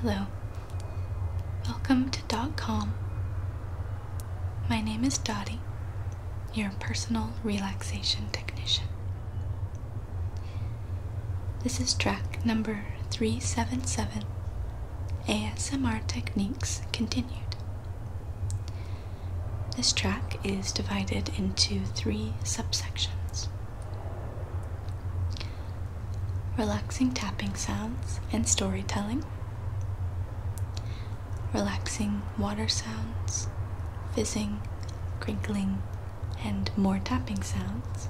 Hello. Welcome to Dot .com. My name is Dottie, your personal relaxation technician. This is track number 377 ASMR Techniques Continued. This track is divided into three subsections relaxing tapping sounds and storytelling, relaxing water sounds, fizzing, crinkling, and more tapping sounds.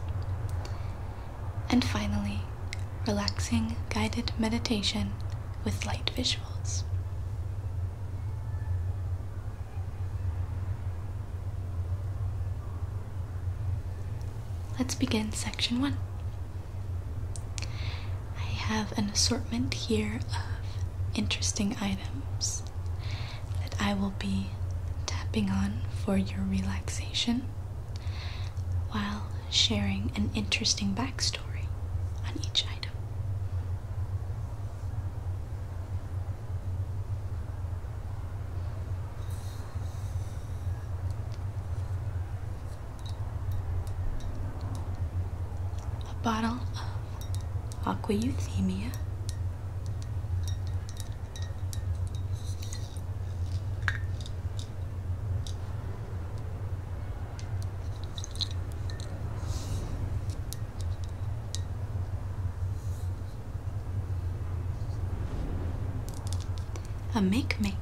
And finally, relaxing guided meditation with light visuals. Let's begin section one. I have an assortment here of interesting items that I will be tapping on for your relaxation while sharing an interesting backstory on each item a bottle of aqua euthymia a make make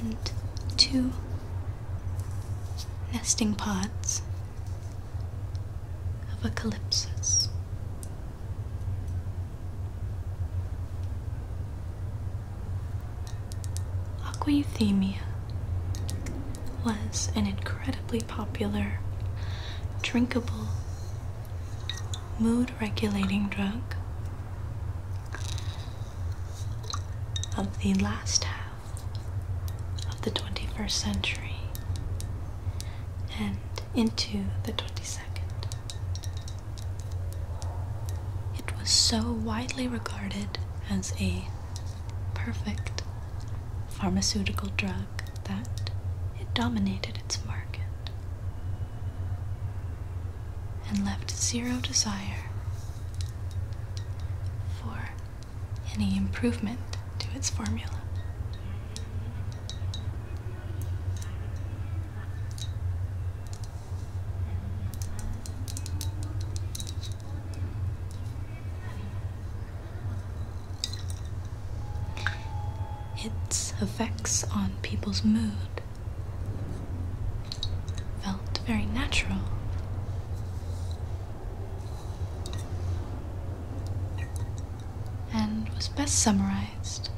and two nesting pods of a calypsis. Aquaeuthemia was an incredibly popular, drinkable, mood regulating drug of the last half of the 21st century and into the 22nd. It was so widely regarded as a perfect pharmaceutical drug that it dominated its market and left zero desire for any improvement to its formula its effects on people's mood felt very natural. And was best summarized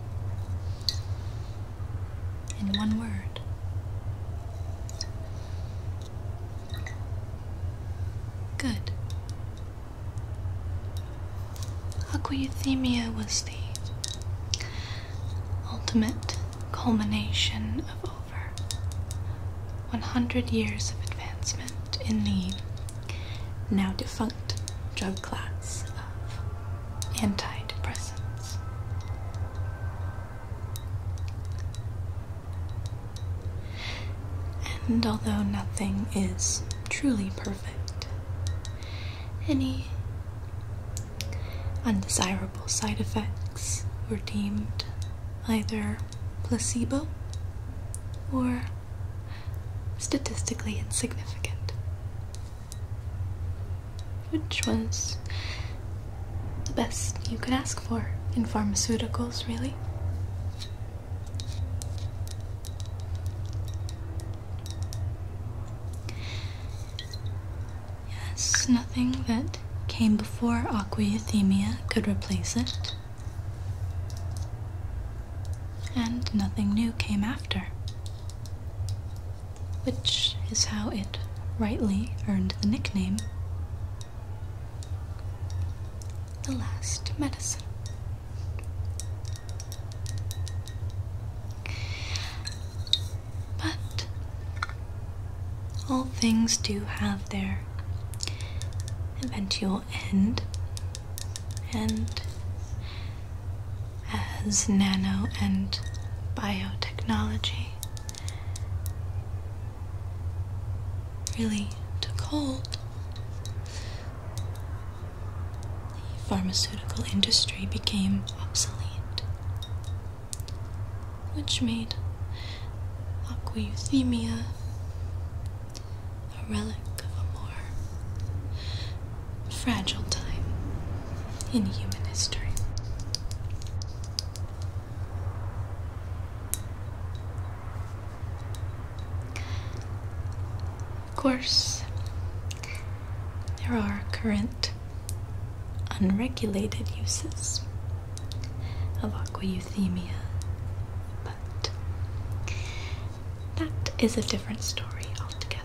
in one word Good. Aquaeuthemia was the ultimate culmination of over 100 years of advancement in the now defunct drug class of antidepressants. And although nothing is truly perfect, any undesirable side effects were deemed either placebo or statistically insignificant, which ones? the best you could ask for in pharmaceuticals, really. Yes, nothing that came before aquaeuthemia could replace it. And nothing new came after. Which is how it rightly earned the nickname the Last Medicine. But all things do have their eventual end, and as nano and biotechnology really took hold, the pharmaceutical industry became obsolete, which made aqueuthemia a relic of a more fragile time in human history. Of course, there are current unregulated uses of aquauthemia, but that is a different story altogether.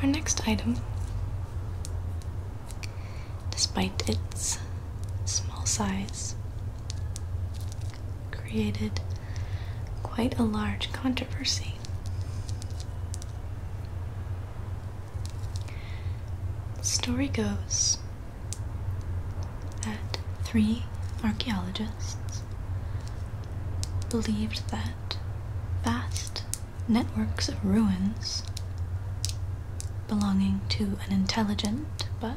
Our next item, despite its small size, created quite a large controversy. story goes that three archaeologists believed that vast networks of ruins belonging to an intelligent but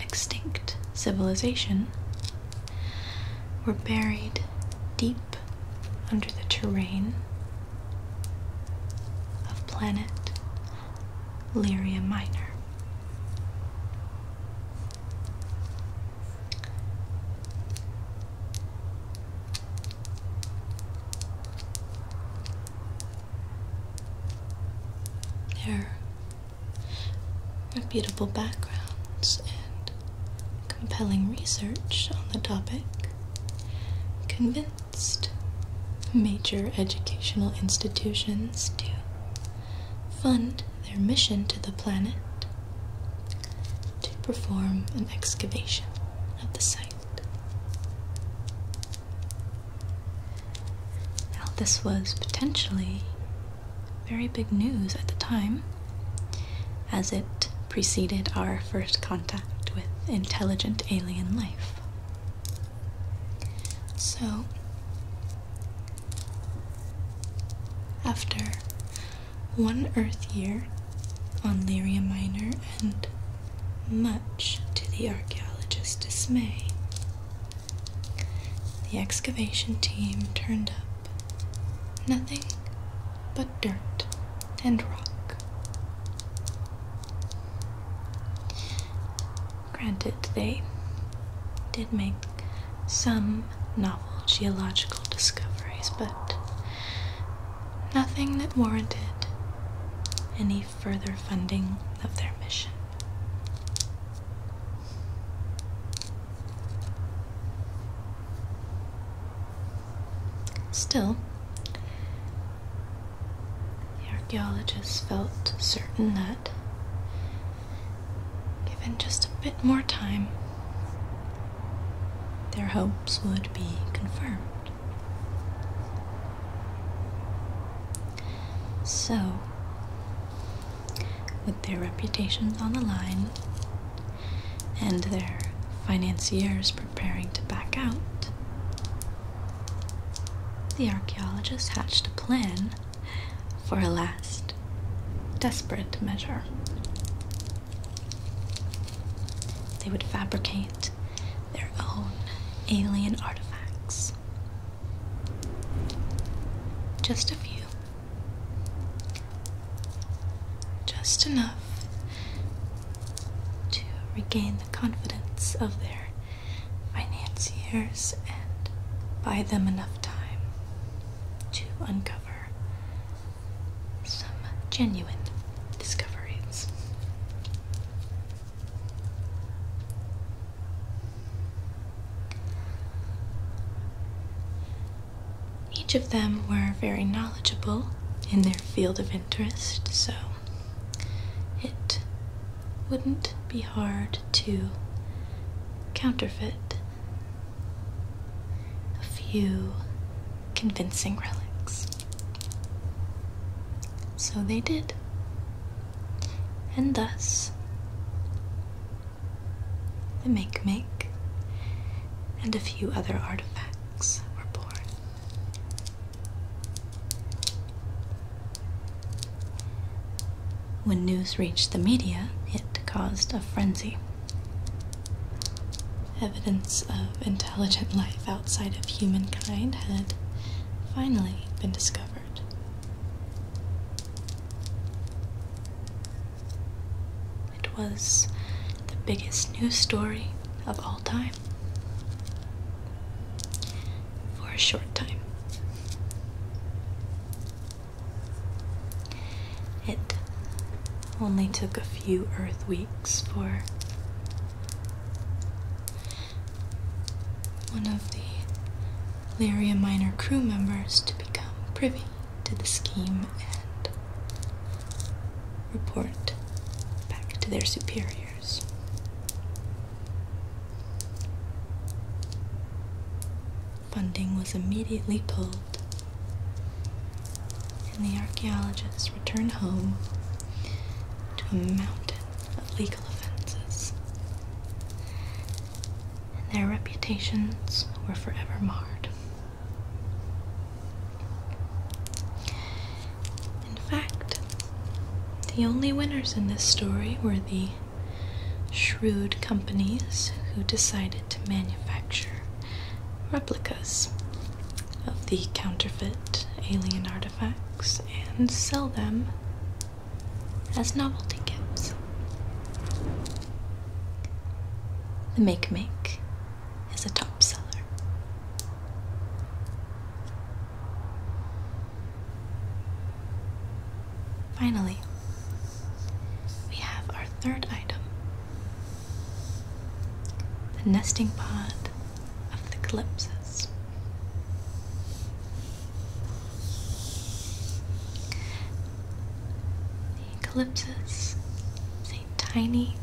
extinct civilization were buried deep under the terrain of planet Lyria Minor. There are reputable backgrounds and compelling research on the topic convinced major educational institutions to fund their mission to the planet to perform an excavation at the site. Now, this was potentially very big news at the time, as it preceded our first contact with intelligent alien life. So, after one Earth year on Lyria Minor, and much to the archaeologist's dismay, the excavation team turned up nothing but dirt and rock. Granted, they did make some novel geological discoveries, but nothing that warranted any further funding of their mission. Still, the archaeologists felt certain that, given just a bit more time, their hopes would be confirmed. So, with their reputations on the line and their financiers preparing to back out, the archaeologists hatched a plan for a last desperate measure. They would fabricate their own alien artifacts. Just a few. Just enough to regain the confidence of their financiers and buy them enough time to uncover some genuine discoveries. Each of them were very knowledgeable in their field of interest, so it wouldn't be hard to counterfeit a few convincing relics. So they did. And thus, the Make Make and a few other artifacts were born. When news reached the media, it caused a frenzy. Evidence of intelligent life outside of humankind had finally been discovered. It was the biggest news story of all time. For a short time. It only took a few Earth weeks for one of the Lyria Minor crew members to become privy to the scheme and report back to their superiors funding was immediately pulled, and the archaeologists returned home to a mountain of legal offenses. And their reputations were forever marred. In fact, the only winners in this story were the shrewd companies who decided to manufacture replicas of the counterfeit alien artifacts and sell them as novelty gifts. The Make Make is a top seller. Finally, we have our third item the nesting pod of the calypsis. The calypsis is a tiny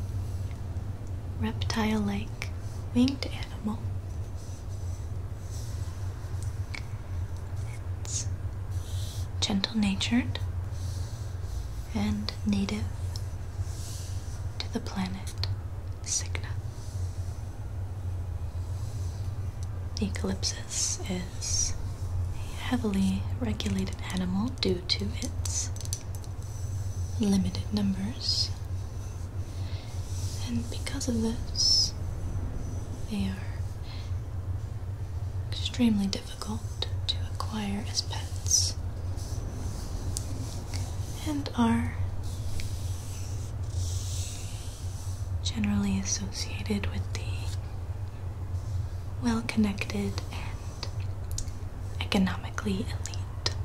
reptile like winged animal. It's gentle natured, and native to the planet Cygnus. The Eucalyptus is a heavily regulated animal due to its limited numbers, and because of this, they are extremely difficult difficult to acquire as pets and are generally associated with the well connected and economically elite.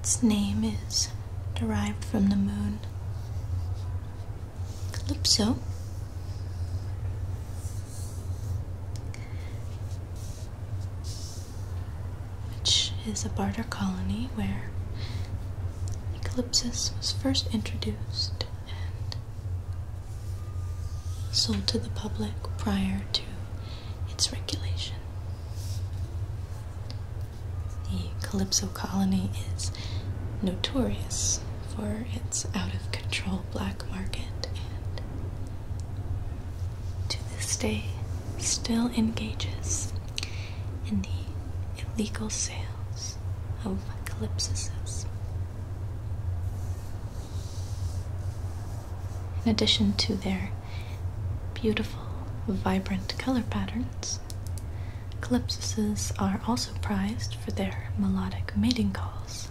Its name is derived from the moon, Hope Which is a barter colony where Eucalyptus was first introduced and sold to the public prior to its regulation. The Calypso colony is notorious for its out of control black market and to this day still engages in the illegal sales of calypsuses. In addition to their beautiful, vibrant color patterns, calypsuses are also prized for their melodic mating calls,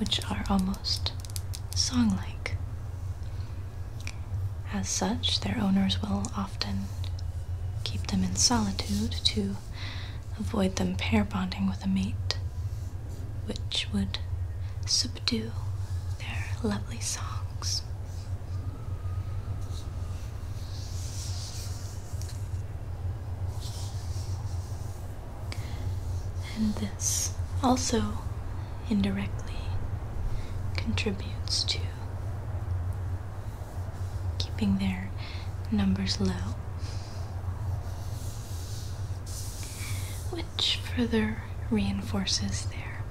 which are almost song like. As such, their owners will often keep them in solitude to avoid them pair bonding with a mate, which would subdue their lovely songs. And this also indirectly contributes to keeping their numbers low, which further reinforces their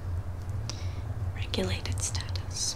regulated status.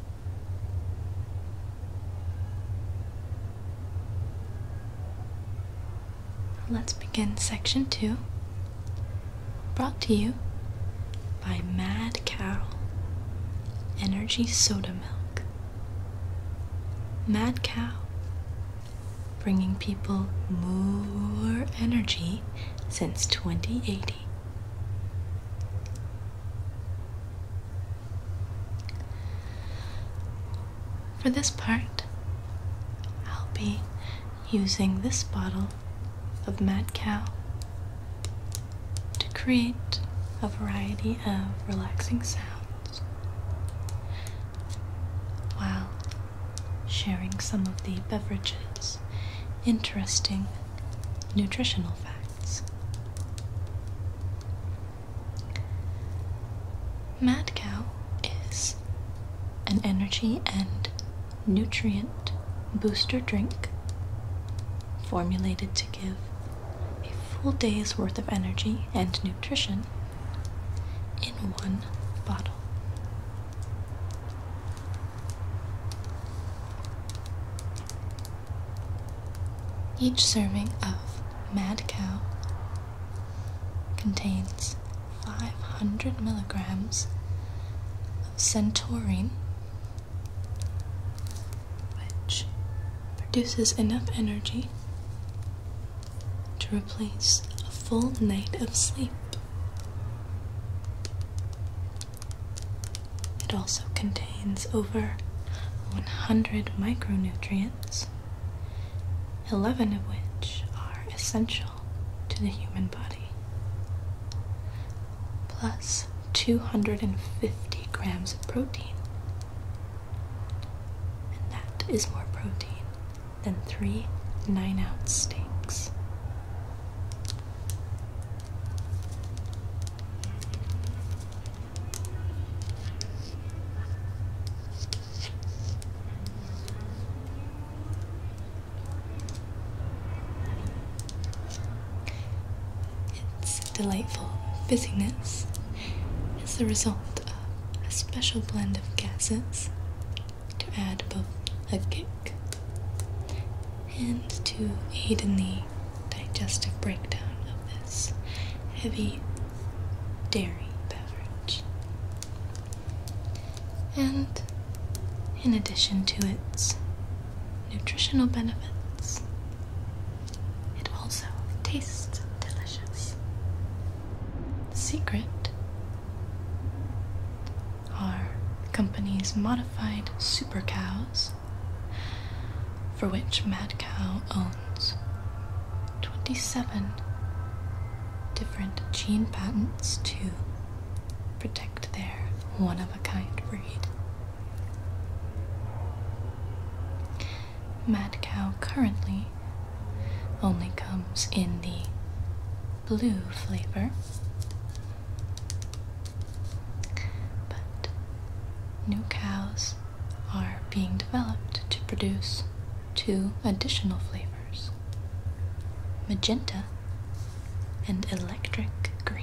Let's begin section two, brought to you by Mad Cow Energy Soda Milk. Mad Cow, bringing people more energy since 2080. For this part, I'll be using this bottle of Mad Cow to create a variety of relaxing sounds while sharing some of the beverage's interesting nutritional facts. Mad Cow is an energy and nutrient booster drink formulated to give a full day's worth of energy and nutrition in one bottle. Each serving of mad cow contains 500 milligrams of centaurine, which produces enough energy to replace a full night of sleep. It also contains over 100 micronutrients, 11 of which are essential to the human body, plus 250 grams of protein. And that is more protein than three nine ounce steaks. Its delightful fizziness is the result of a special blend of gases to add both a kick and to aid in the digestive breakdown of this heavy dairy beverage. And in addition to its nutritional benefits, it also tastes delicious. secret are the company's modified super cows, for which Mad Cow owns 27 different gene patents to protect their one of a kind breed. Mad Cow currently only comes in the blue flavor. But new cows are being developed to produce two additional flavors magenta and electric green.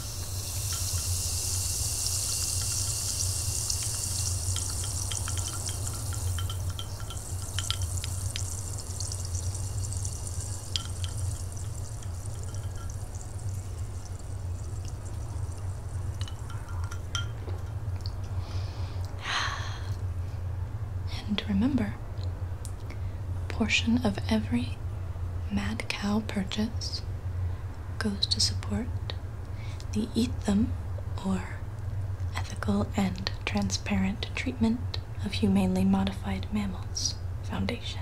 And remember, a portion of every mad cow purchase goes to support the etham, or Ethical and Transparent Treatment of Humanely Modified Mammals Foundation.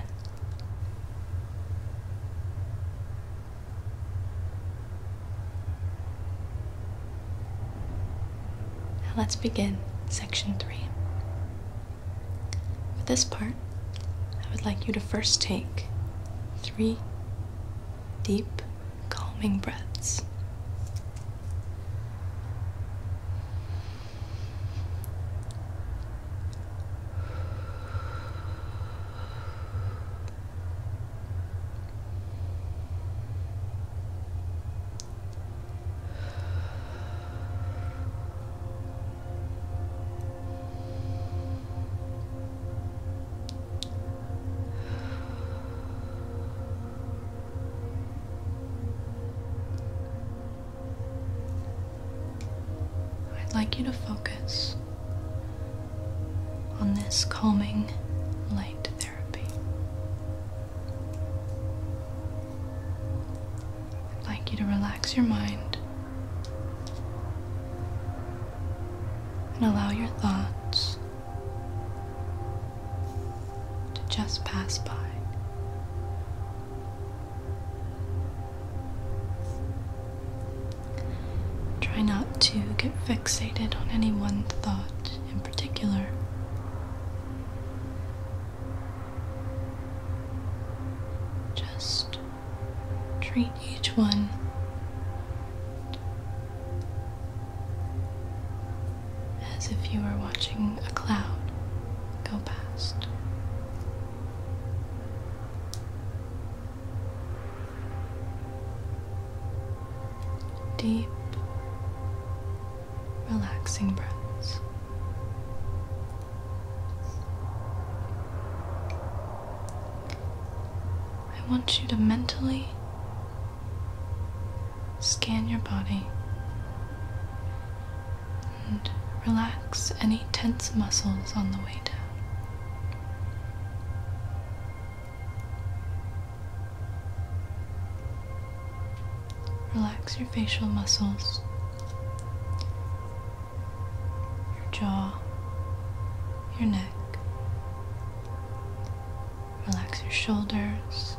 let's begin section three. For this part, I would like you to first take three deep, calming breaths. I'd like you to focus on this calming light therapy. I'd like you to relax your mind and allow your thoughts to just pass by. Try not to get fixated on any one thought in particular. Just Treat each one as if you were watching a cloud go past. Deep, relaxing breaths. I want you to mentally scan your body and relax any tense muscles on the way down. Relax your facial muscles your jaw, your neck. Relax your shoulders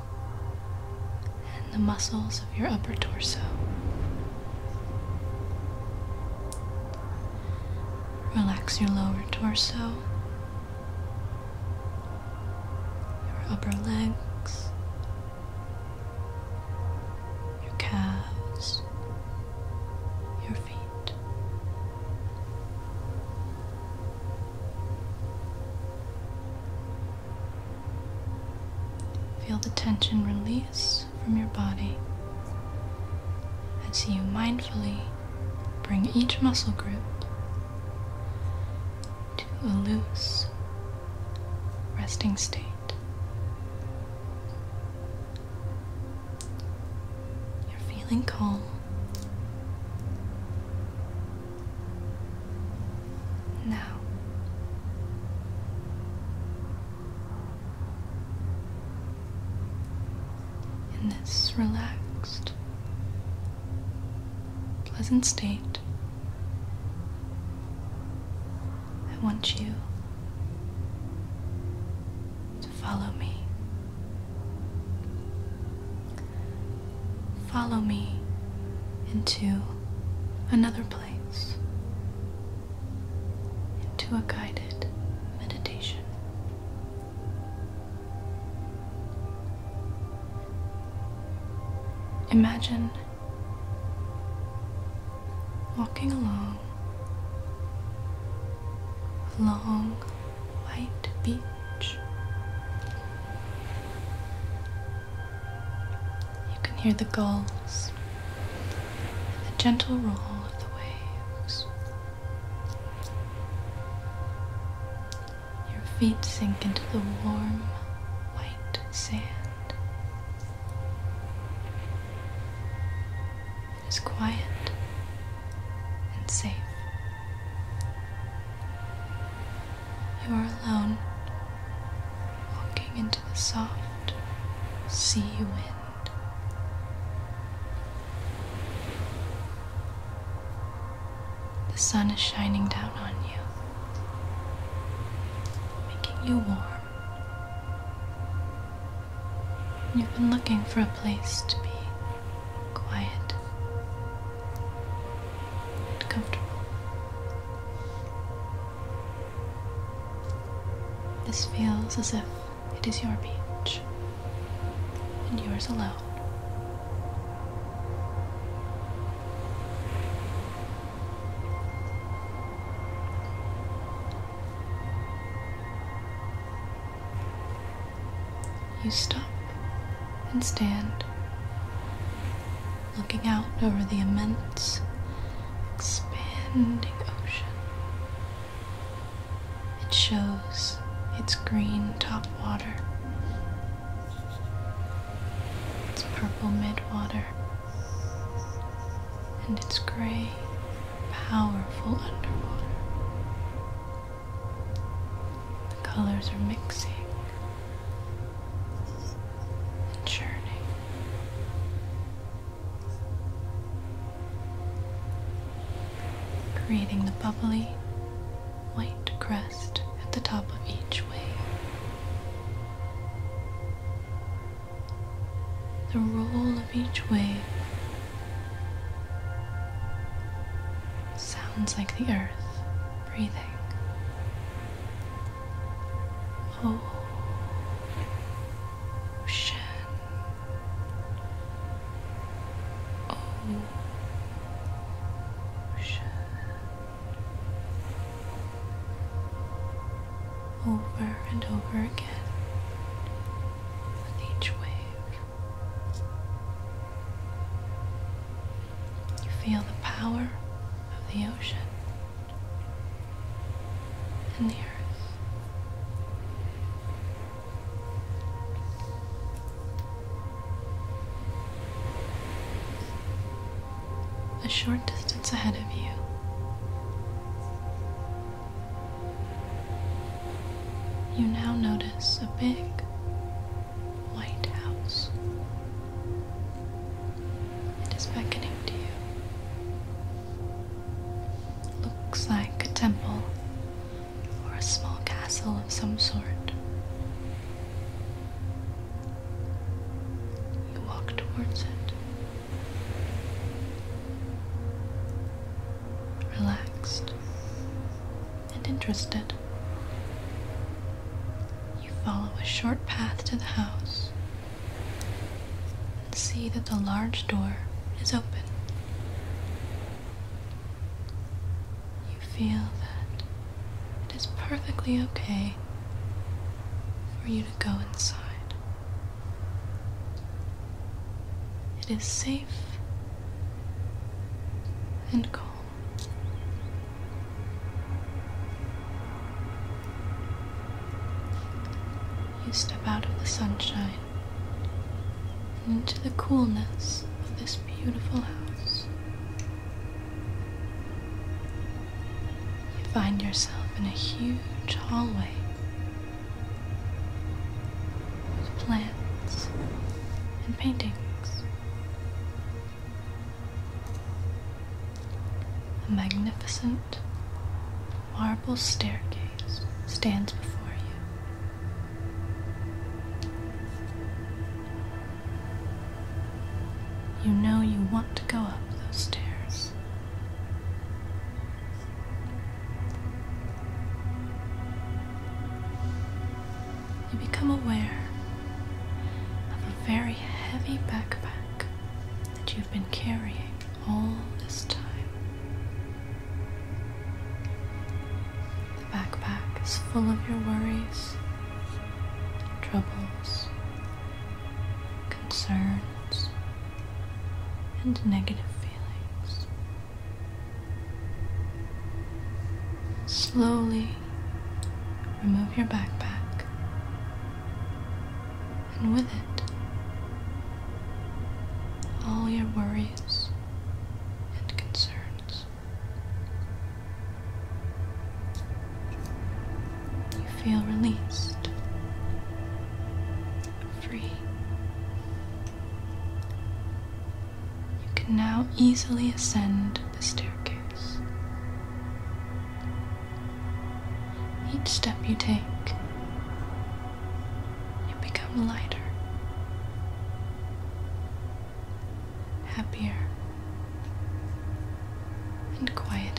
and the muscles of your upper torso. Relax your lower torso, your upper legs, your calves, your feet. Feel the tension release from your body as you mindfully bring each muscle group to a loose resting state. You're feeling calm. Now, in this relaxed, pleasant state, I want you to follow me. Follow me into another place, into a guided meditation. Imagine walking along a long white beach. You can hear the gulls and the gentle roll of the waves. Your feet sink into the warm white sand. It is quiet and safe. You are alone, walking into the soft sea wind. The sun is shining down on you, making you warm. You've been looking for a place to be quiet and comfortable. This feels as if it is your beach and yours alone. You stop and stand, looking out over the immense, expanding ocean. It shows its green top water, its purple midwater and its gray, powerful underwater. The colors are mixing and churning. Creating the bubbly white crest at the top of each wave the roll of each wave sounds like the earth breathing. Ocean. Oh, Ocean. Oh, over and over again with each wave. You feel the power of the ocean and the earth a short distance ahead of you. You now notice a big white house. It is beckoning to you. Looks like a temple or a small castle of some sort. You walk towards it relaxed, and interested. You follow a short path to the house and see that the large door is open. You feel that it is perfectly okay for you to go inside. It is safe and calm. You step out of the sunshine and into the coolness of this beautiful house you find yourself in a huge hallway with plants and paintings. A magnificent marble staircase stands before. you You know you want to go up those stairs. You become aware of a very heavy backpack that you've been carrying all this time. The backpack is full of your worries, troubles, concerns, and negative feelings. Slowly remove your backpack, and with it, all your worries and concerns. You feel released, free. You can now easily ascend the staircase. Each step you take, you become lighter. Happier and quieted.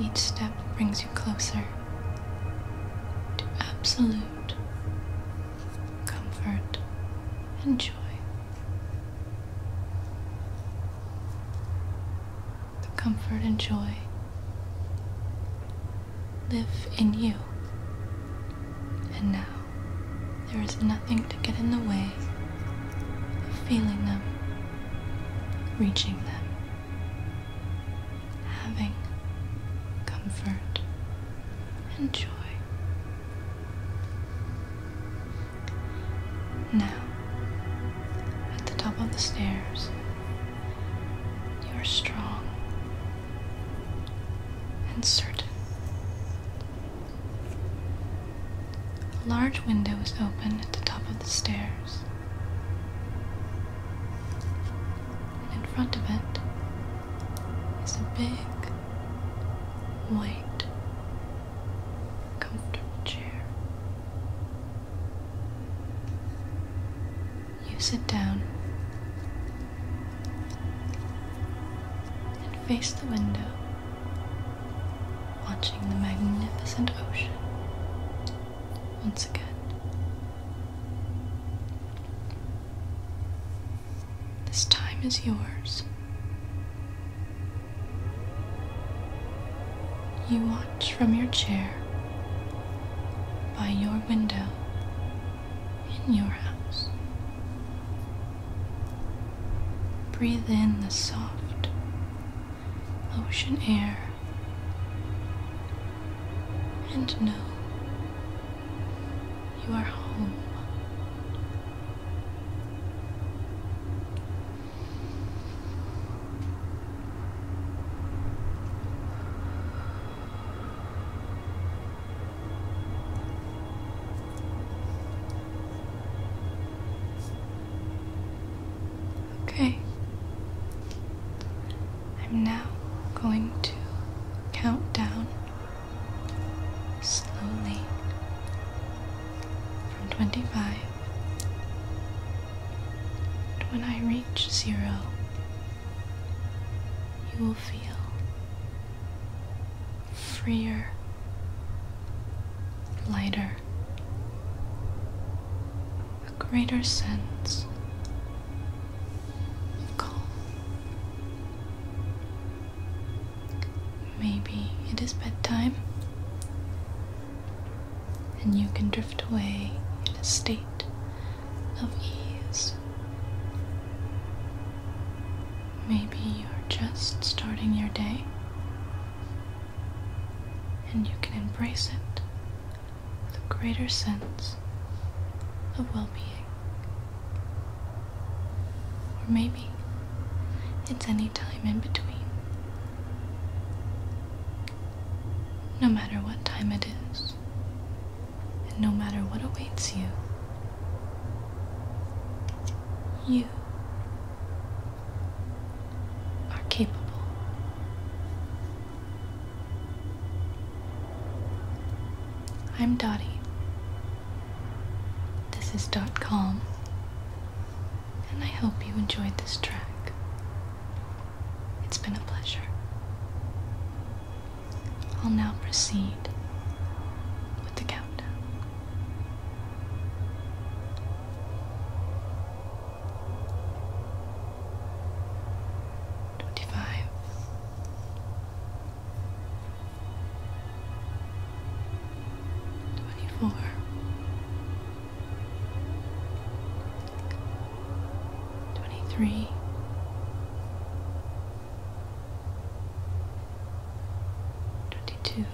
Each step brings you closer to absolute comfort and joy. The comfort and joy live in you. And now, there is nothing to get in the way of feeling them, reaching them, having comfort and joy. Now, at the top of the stairs, you are strong and certain. A large window is open at the top of the stairs, and in front of it is a big, white, comfortable chair. You sit down and face the window, watching the magnificent ocean once again. This time is yours. You watch from your chair by your window in your house. Breathe in the soft ocean air and know you are home. Okay. I'm now going to count down slowly from 25 when I reach zero you will feel freer, lighter, a greater sense of calm. Maybe it is bedtime and you can drift away in a state of ease. Maybe you're just starting your day and you can embrace it with a greater sense of well being. Or maybe it's any time in between. No matter what time it is, and no matter what awaits you, you are capable. I'm Dottie. This is Dot Calm, and I hope you enjoyed this track. It's been a pleasure. I'll now proceed with the countdown. Twenty five. Twenty-two,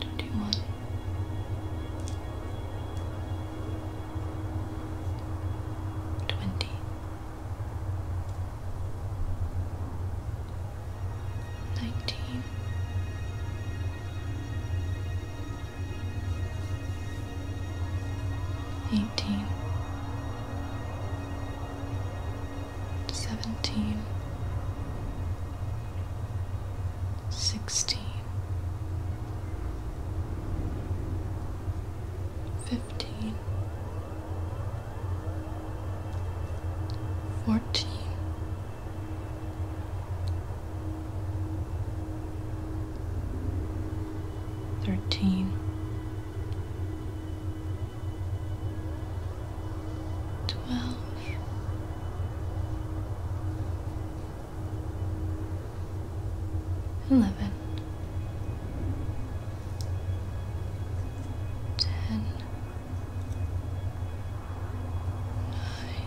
twenty-one, twenty, nineteen eighteen, seventeen, sixteen, fifteen, fourteen thirteen, twelve, eleven, ten, nine,